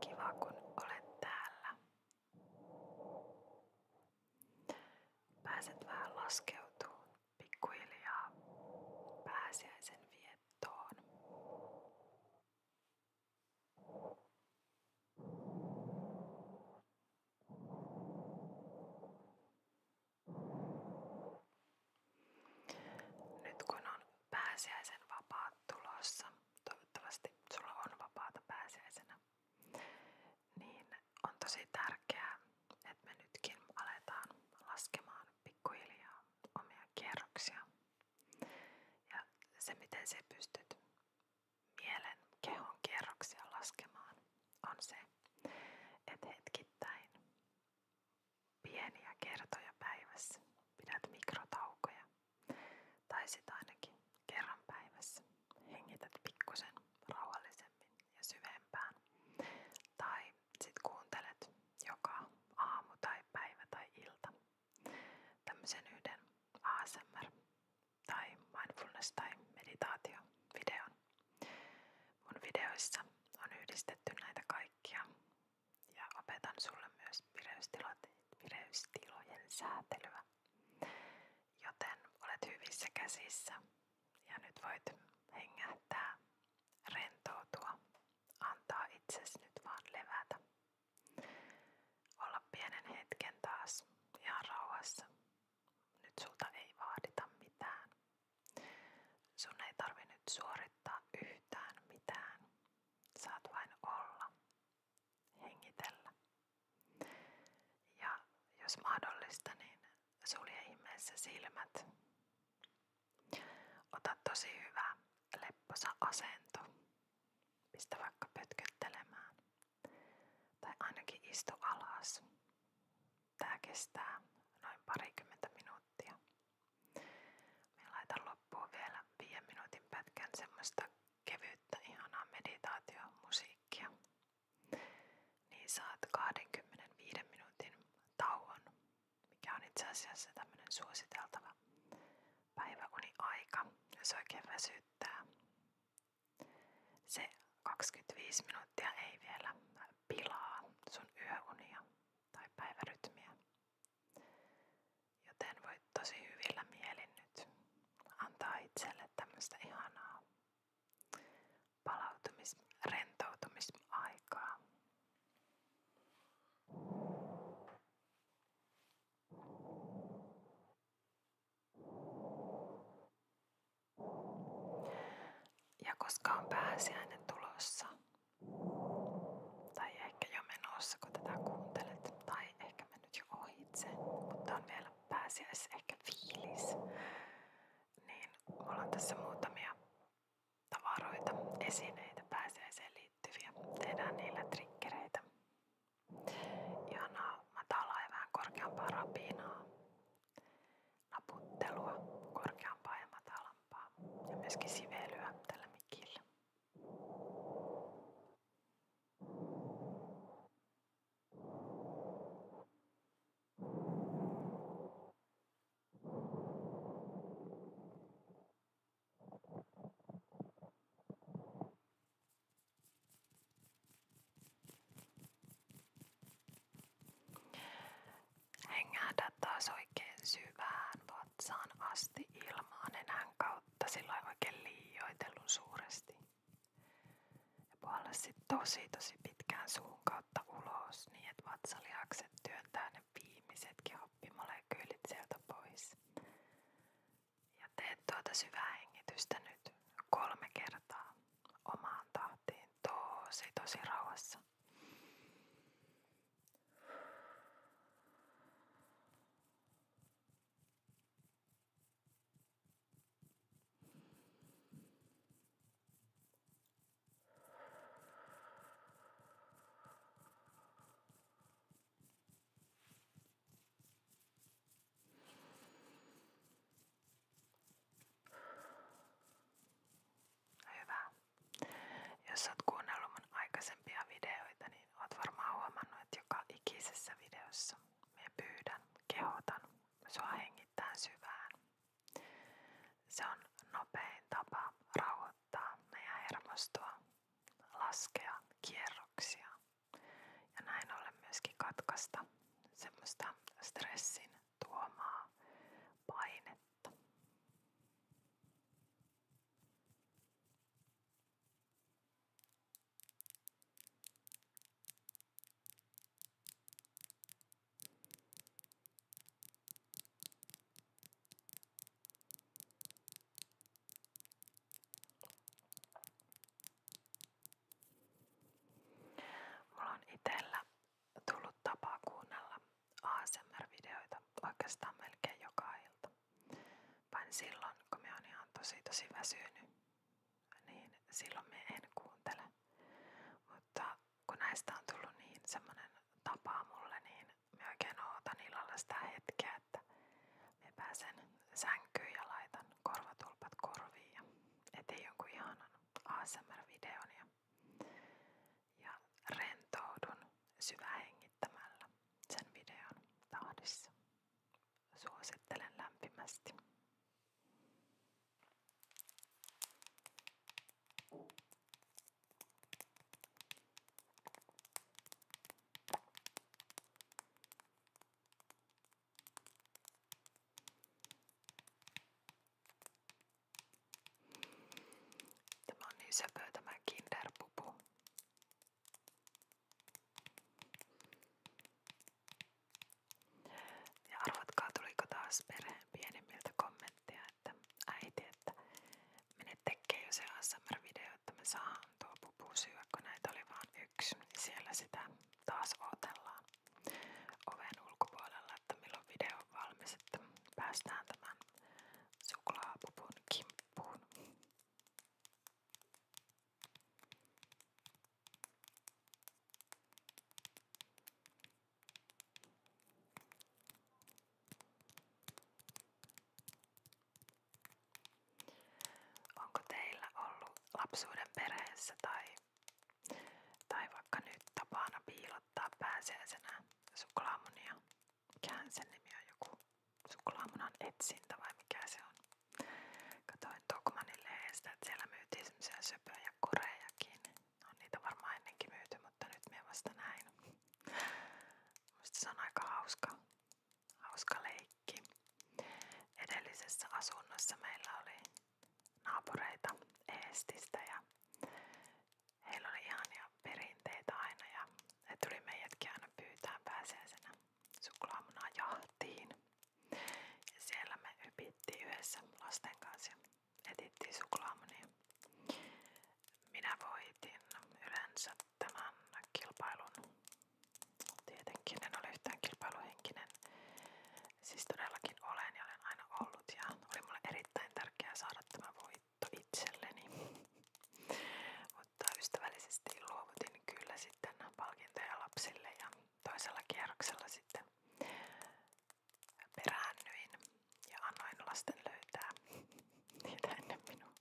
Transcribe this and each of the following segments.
Kiva kun olet täällä. Pääset vähän laskeutumaan pikkuhiljaa pääsiäisen viettoon. Nyt kun on pääsiäisen vapaat tulossa, toivottavasti sulla on vapaata pääsiäisenä, niin on tosi tärkeää, että me nytkin aletaan laskemaan pikkuhiljaa omia kierroksia. Ja se miten se pystyt mielen, kehon kierroksia laskemaan on se, että hetkittäin pieniä kertoja päivässä pidät mikrotaukoja. Tai sit ainakin kerran päivässä hengität pikkusen rauhallisemmin syvempään. Tai sit kuuntelet joka aamu tai päivä tai ilta tämmöisen yhden ASMR tai mindfulness tai meditaatio videon. Mun videoissa on yhdistetty näitä kaikkia ja opetan sulle myös vireystilojen säätelyä. Joten olet hyvissä käsissä ja nyt voit hengähtää, rentoutua, antaa itsesi nyt vaan levätä. Olla pienen hetken taas ihan rauhassa. Nyt sulta ei vaadita mitään. Sun ei tarvi nyt suorittaa yhtään mitään. Saat vain olla, hengitellä. Ja jos mahdollista, niin Sulje ihmeessä silmät. Ota tosi hyvä lepposa asento. Pistä vaikka pötköttelemään. Tai ainakin istu alas. Tää kestää noin parikymmentä minuuttia. Minä laitan loppuun vielä viiden minuutin pätkän semmoista kevyyttä, ihanaa meditaatiomusiikkia niin saat 25 minuutin tauon, mikä on itse asiassa tämmöinen suositeltava päiväuniaika, jos oikein väsyttää. Se 25 minuuttia ei vielä pilaa sun yöunia tai päivärytmiä. Joten voit tosi hyvillä mielin nyt antaa itselle tämmöistä ihanaa palautumis-, rentoutumisaikaa. Ja koska on tulossa, tai ehkä jo menossa kun tai ehkä mennyt jo mutta on vielä pääsiäis ehkä fiilis. Niin mulla on tässä muutamia tavaroita, esineitä pääsiäiseen liittyviä. Tehdään niillä trikkereitä. Ihanaa matalaa ja vähän korkeampaa rapinaa. Naputtelua, korkeampaa ja matalampaa. Ja myöskin sivelyä tällä mikillä. Hengähdä taas oikein syvään vatsaan asti ilmaa nenän kautta, sillä oikein liioitellun suuresti. Ja puolla sitten tosi tosi pitkään suun kautta ulos niin, että vatsalihakset työntää ne viimeisetkin hoppimolekyylit sieltä pois. Ja teet tuota syvää hengitystä nyt kolme kertaa omaan tahtiin tosi tosi rauhassa. Hyvä. Jos oot kuunnellut mun aikaisempia videoita, niin oot varmaan huomannut, että joka ikisessä videossa me pyydän, kehotan sua hengittää syvään. Se on nopein tapa rauhoittaa meidän hermostoa, laskea kierroksia ja näin ollen myöskin katkaista semmoista stressin tuomaa painetta. Mulla on itellä tullut tapa kuunnella ASMR-videoita oikeastaan melkein joka ilta. Vain silloin, kun mä oon ihan tosi tosi väsynyt niin silloin me en kuuntele. Mutta kun näistä on tullut niin semmoinen tapa mulle, niin mä oikein ootan illalla sitä hetkeä, että me pääsen sänkyyn ja laitan korvatulpat korviin ja eteen jonkun ihanan ASMR-videon ja, ja rentoudun syvähengittämällä sen videon tahdissa. Suosittelen lämpimästi. Tämä on niin söpö tämä kinderpupu. Ja arvatkaa tuliko taas perheen pienemmiltä kommenttia, että äiti, että mene tekee jo se ASMR-video, että me saan tuo pupu syödä, kun näitä oli vaan yksi. Siellä sitä taas odotellaan oven ulkopuolella, että milloin video on valmis, että päästään tämän suklaapupun kimppuun. Onko teillä ollut lapsuuden perheessä tai, tai vaikka nyt tapana piilottaa pääsiäisenä suklaamunia? Mikähän sen nimi on joku suklaamunan etsintä vai mikä se on. Katoin Tokmanin lehdestä, että siellä myytiin semmoisia söpöjä korejakin. On niitä varmaan ennenkin myyty, nyt minä näin. Musta se hauska, hauska leikki. Edellisessä asunnossa oli naapureita Eestistä ja heillä oli ihania perinteitä aina ja ne tuli meidätkin aina pyytää pääsiäisenä suklaamunajahtiin. Ja siellä me hypittiin yhdessä lasten kanssa ja etittiin suklaamunia. Minä voitin yleensä tämän kilpailun. Tietenkin en ole yhtään kilpailuhenkinen. Siis todellakin olen ja olen aina ollut ja oli mulle erittäin tärkeää saada tämä voitto itselleni. Mut mutta ystävällisesti luovutin kyllä sitten palkintoja lapsille ja toisella kierroksella sitten peräännyin ja annoin lasten löytää niitä ennen minua.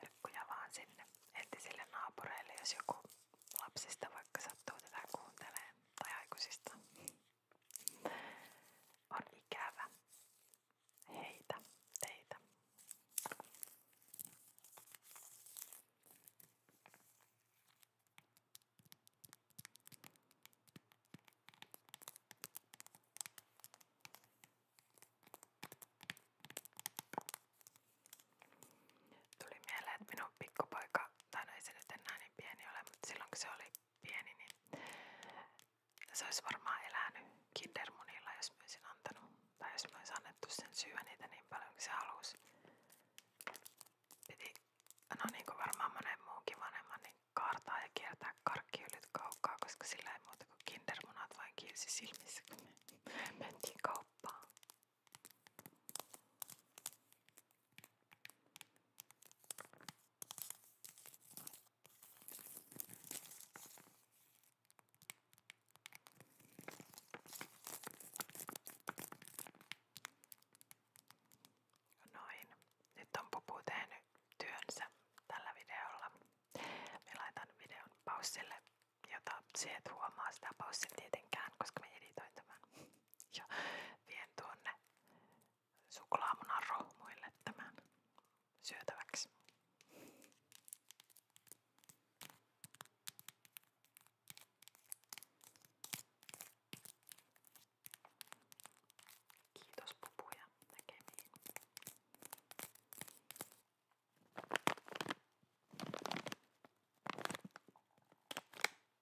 Terkkuja vaan sinne entisille naapureille, lapsista vaikka sattuu tätä kuunteleen tai aikuisista. On ikävä heitä, teitä. Tuli mieleen, että minun pikkupoika, tai no ei se nyt enää niin pieni ole, mutta silloin kun se oli pieni, niin se olisi varmaan elänyt kindermunilla, jos mä olisin antanut. Tai jos mä olisin annettu sen syödä niitä niin paljon kuin se halusi. Piti, no niin kuin varmaan monen muunkin vanhemman, niin kaartaa ja kiertää karkkiylyt kaukaa, koska sillä ei muuta kuin kindermunat vain kiilsi silmissä, kun me mentiin kauppaan. Noin. Nyt on Pupu tehnyt työnsä tällä videolla. Me laitan videon paussille, jota se et huomaa sitä paussin tietenkään, koska me editoin tämän. Ja vien tuonne suklaamunan rohmuille tämän syötäväksi. Kiitos pupuja näkemiin.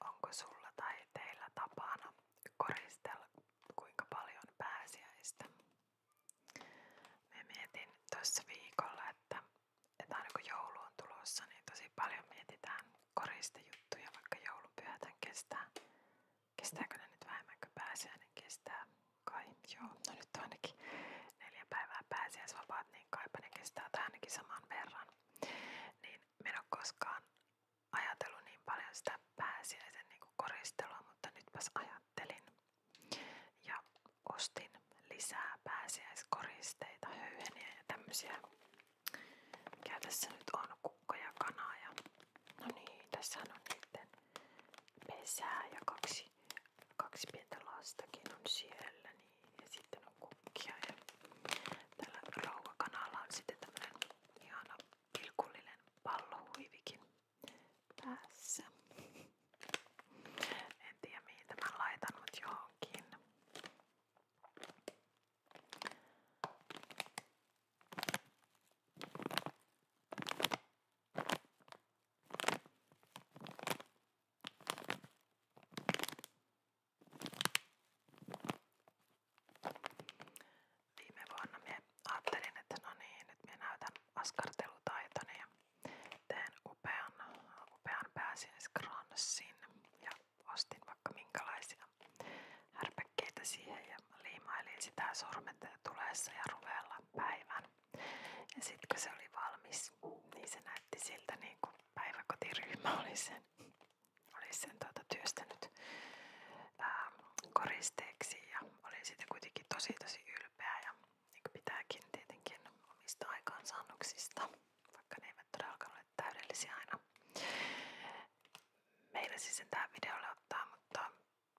Onko sulla tai teillä tapana koristella kuinka paljon pääsiäistä? Me mietin tuossa viikolla, että, että aina kun joulu on tulossa, niin tosi paljon mietitään koristejuttuja, vaikka joulupyhätän kestää. Kestääkö ne nyt vähemmän kuin pääsiäinen kestää? Kai, joo. No nyt on ainakin neljä päivää pääsiäisvapaat, niin kaipa ne kestää tai ainakin saman verran. Niin minä en ole koskaan ajatellut niin paljon sitä pääsiäisen niin kuin koristelua, mutta nytpäs ajattelin. Ja ostin lisää pääsiäiskoristeita, höyheniä ja tämmöisiä mikä tässä nyt on? Kukko ja kana ja... No niin, tässähän on niiden pesää ja kaksi, kaksi pientä lastakin on siellä. Niin. Ja sitten on kukkia ja tällä rouvakanalla on sitten tämmönen ihana pilkullinen pallohuivikin päässä. En tiedä mihin tämän laitan, mut johonkin. Viime vuonna minä ajattelin, no niin, nyt minä näytän askartelutaitoni ja teen upean, upean pääsiäiskranssin ja ostin vaikka minkälaisia härpäkkeitä siihen ja liimailin sitä sormetta tuleessa ja ruveella päivän. Ja sitten kun se oli valmis, niin se näytti siltä niin kuin päiväkotiryhmä oli sen, oli sen tuota työstänyt ää, koristeeksi ja olin siitä kuitenkin tosi tosi ylpeä ja niin kuin pitääkin tietenkin omista aikaansaannoksista, vaikka ne eivät todellakaan ole täydellisiä aina. Meillä siis sen tähän videolle ottaa, mutta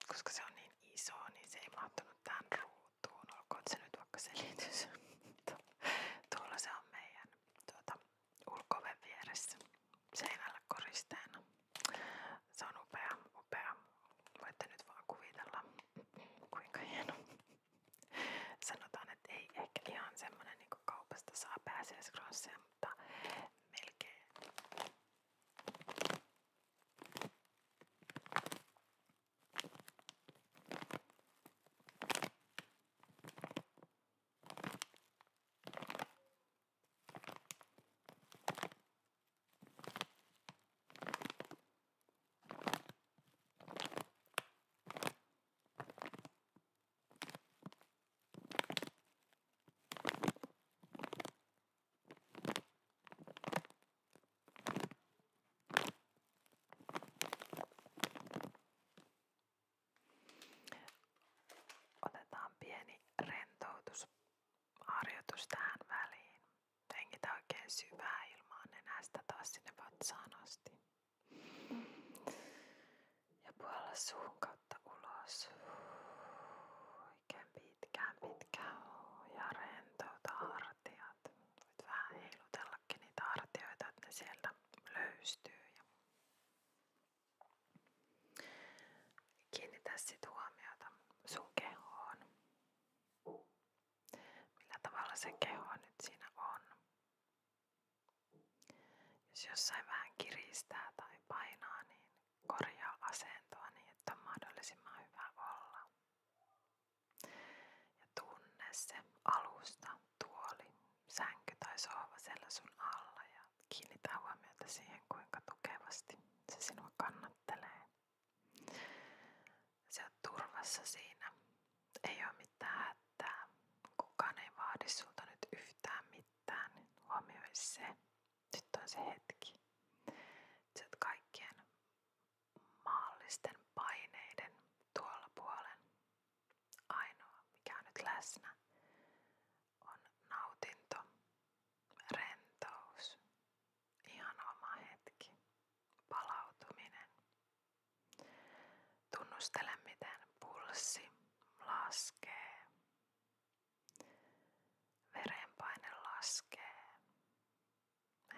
koska se on niin iso, niin se ei mahtunut tähän ruutuun. Olkoon se nyt vaikka selitys. Tuolla se on meidän tuota, ulkoven vieressä seinällä koristeena. Se on upea, upea. Voitte nyt vaan kuvitella, kuinka hieno. Sanotaan, että ei ehkä ihan semmonen niin kaupasta saa pääsiäiskronsseja, mutta melkein. Otetaan pieni rentoutusharjoitus tähän väliin. Hengitä oikein syvää ilmaa nenästä taas sinne ja puolla suun kautta ulos. Oikein pitkään, pitkään. Ja rentouta hartiat. Voit vähän heilutellakin niitä hartioita, että ne sieltä löystyy. Ja kiinnitä sit huomiota sun kehoon. Millä tavalla se keho nyt siinä on? Jos jossain vähän kiristää tai painaa, niin korjaa asentoa niin, että on mahdollisimman hyvä olla. Ja tunne se alusta, tuoli, sänky tai sohva siellä sun alla ja kiinnitä huomiota siihen, kuinka tukevasti se sinua kannattelee. Se on turvassa siinä ei oo mitään hätää. Kukaan ei vaadi sulta nyt yhtään mitään. Huomioi se. Nyt on se hetki. Sä oot kaikkien maallisten paineiden tuolla puolen. Ainoa, mikä on nyt läsnä, on nautinto, rentous, ihan oma hetki, palautuminen, Tunnustele miten pulssi laskee. Verenpaine laskee.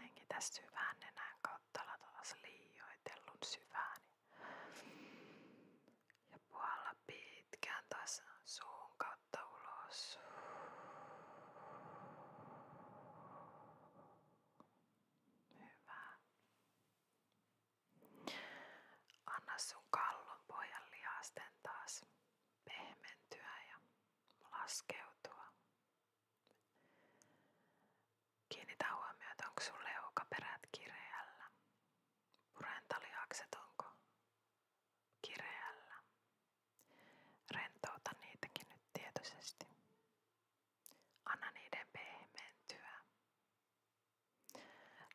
Hengitä syvään nenän kautta taas liioitellun syvään. Ja puolla pitkään taas suun kautta ulos. Hyvä. Anna sun kallon pojan lihasten taas pehmentyä ja laskeutua. Kiinnitä huomiota, onko sun leukaperät kireällä. Purentalihakset onko kireällä. Rentouta niitäkin nyt tietoisesti. Anna niiden pehmentyä.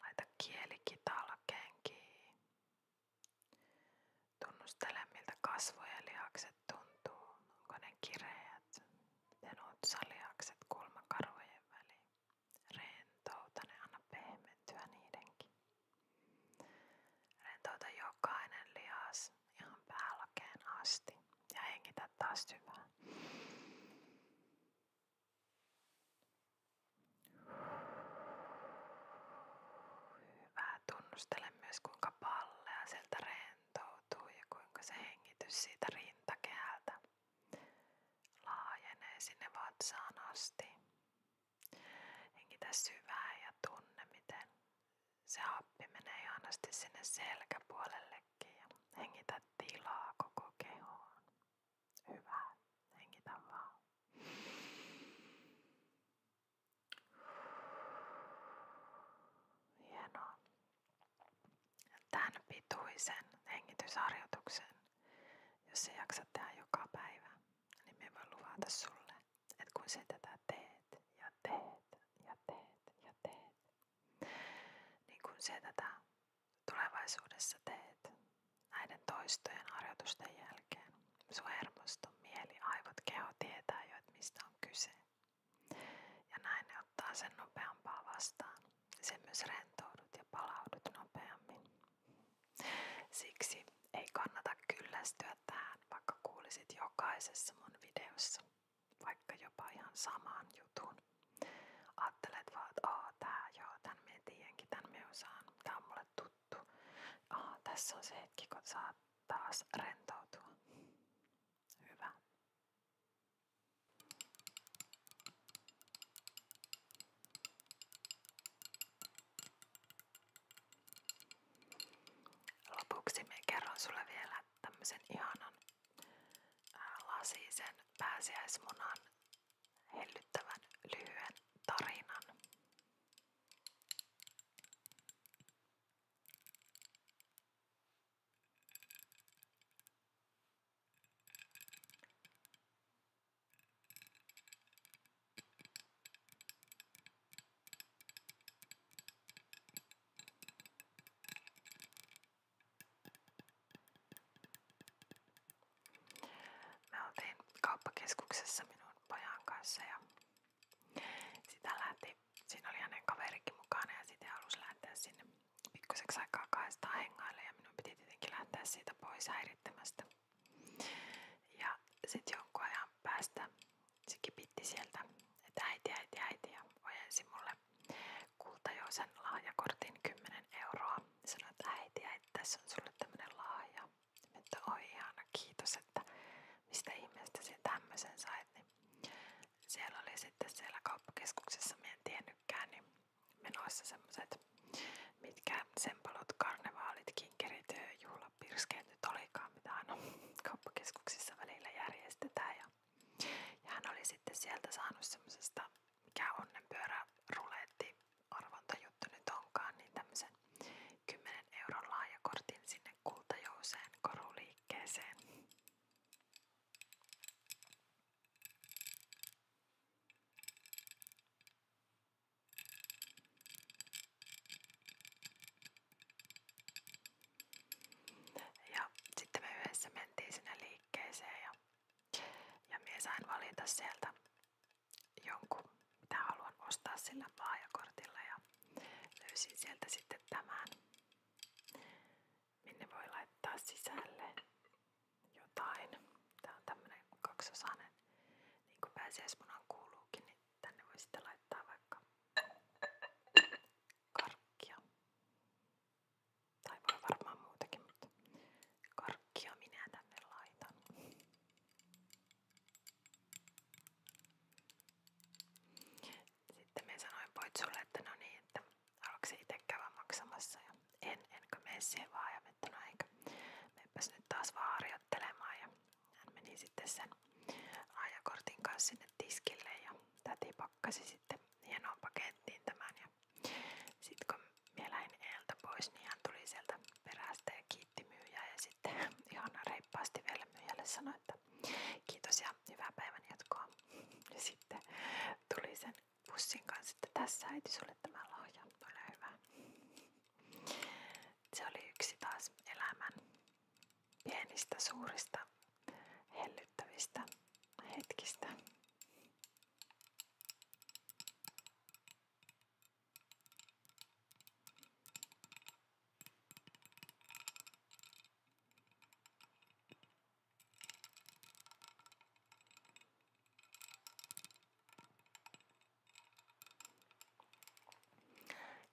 Laita kieli kitalkeen kiinni. Tunnustele miltä kasvojen lihakset tuntuu. Onko ne kireät? Miten otsalihakset kulmakarvojen väliin? Rentouta ne, anna pehmentyä niidenkin. Rentouta jokainen lihas ihan päälakeen asti ja hengitä taas syvään. Hyvä. Tunnustele myös kuinka pallea sieltä rentoutuu ja kuinka se hengitys siitä rintakehältä laajenee sinne vatsaan asti. Hengitä syvään ja tunne miten se happi menee ihanasti sinne selkäpuolellekin ja hengitä Hyvä, hengitä vaan. Hienoa. pituisen hengitysharjoituksen, jos sä jaksat joka päivä, niin me voi luvata sulle, et kun sä teet ja teet ja teet Niin kun se tätä tulevaisuudessa teet näiden toistojen harjoitusten jälkeen, sun mieli, aivot, keho tietää jo, kyse. Ja näin ottaa sen nopeampaa vastaan. Se myös rentoudut ja palaudut nopeammin. Siksi ei kannata kyllästyä tähän, vaikka kuulisit jokaisessa mun videossa vaikka jopa ihan samaan jutun. Ajattelet vaan, että aa tää, joo, tän me tiedänkin, tän me osaan, tää on mulle tuttu. Aa, tässä on se hetki, kun saa taas rentoutua. Hyvä. Lopuksi me kerron sulle vielä tämmöisen ihanan ää, lasisen pääsiäismunan hellyttävän lyhyen tarinan. Me oltiin kauppakeskuksessa minun pojan kanssa ja sitä lähti, siinä oli hänen kaverikin mukana ja sitä halusi lähteä sinne pikkuseksi aikaa kahdestaan hengaille ja minun piti tietenkin lähteä siitä pois häirittämästä. Ja sitten jonkun ajan päästä se kipitti sieltä, että äiti, äiti, äiti ja ojensi mulle kultajoisen lahjakortin 10 euroa. Sanoi, että äiti, äiti, tässä on sulle tämmönen lahja. Että oi ihana, kiitos, että mistä ihmeestä se tämmöisen sait. Niin siellä oli sitten siellä kauppakeskuksessa, mä en tiennytkään, niin menossa semmoset, mitkä sempalot, karnevaalit, kinkerit, juhlapirskeet nyt olikaan, mitä aina kauppakeskuksissa välillä järjestetään. Ja, ja hän oli sitten sieltä saanut semmoisesta, mikä onnenpyörä ruletti arvontajuttu nyt onkaan, niin tämmöisen 10 euron laajakortin sinne kultajouseen koruliikkeeseen. Ja sitten me yhdessä mentiin sinne liikkeeseen ja, ja minä sain valita sieltä jonkun, mitä haluan ostaa sillä laajakortilla ja löysin sieltä sitten tämän, minne voi laittaa sisälle jotain. Tää on tämmönen kaksosainen, niin kuin pääsiäismunan kuuluukin, niin Tänne voi sitten laittaa vaikka Tai voi varmaan muutakin, mutta karkkia minä sanoin Poitsulle, että no niin, että haluatko se maksamassa ja en, enkö mene siihen vaan ja no eikä. Meipäs nyt taas vaan kattelemaan ja hän meni sitten sen ajakortin kanssa sinne tiskille ja täti pakkasi sitten hienoon pakettiin tämän ja sitten kun minä lähdin eeltä pois, niin hän tuli sieltä perästä ja kiitti myyjää ja sitten ihan reippaasti vielä myyjälle sanoi, että kiitos ja hyvää päivän jatkoa. Ja sitten tuli sen pussin kanssa, että tässä äiti sulle tämä lahja, se oli yksi taas elämän pienistä, suurista, hellyttävistä hetkistä.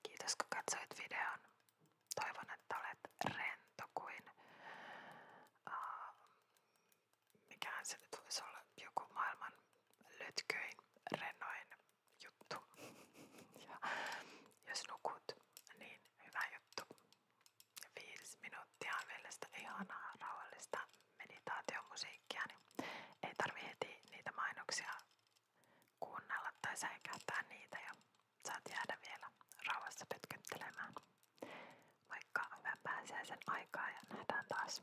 Kiitos kun katsoit videon. Toivon, että olet rento kuin uh, mikähän se nyt voisi olla joku maailman lötköin, rennoin juttu. ja jos nukut, niin hyvä juttu. Viisi minuuttia on vielä sitä ihanaa rauhallista meditaatiomusiikkia, niin ei tarvi heti niitä mainoksia kuunnella tai säikähtää niitä ja saat jäädä vielä rauhassa pötköttelemään. Moikka, hyvää pääsiäisen aikaa ja nähdään taas.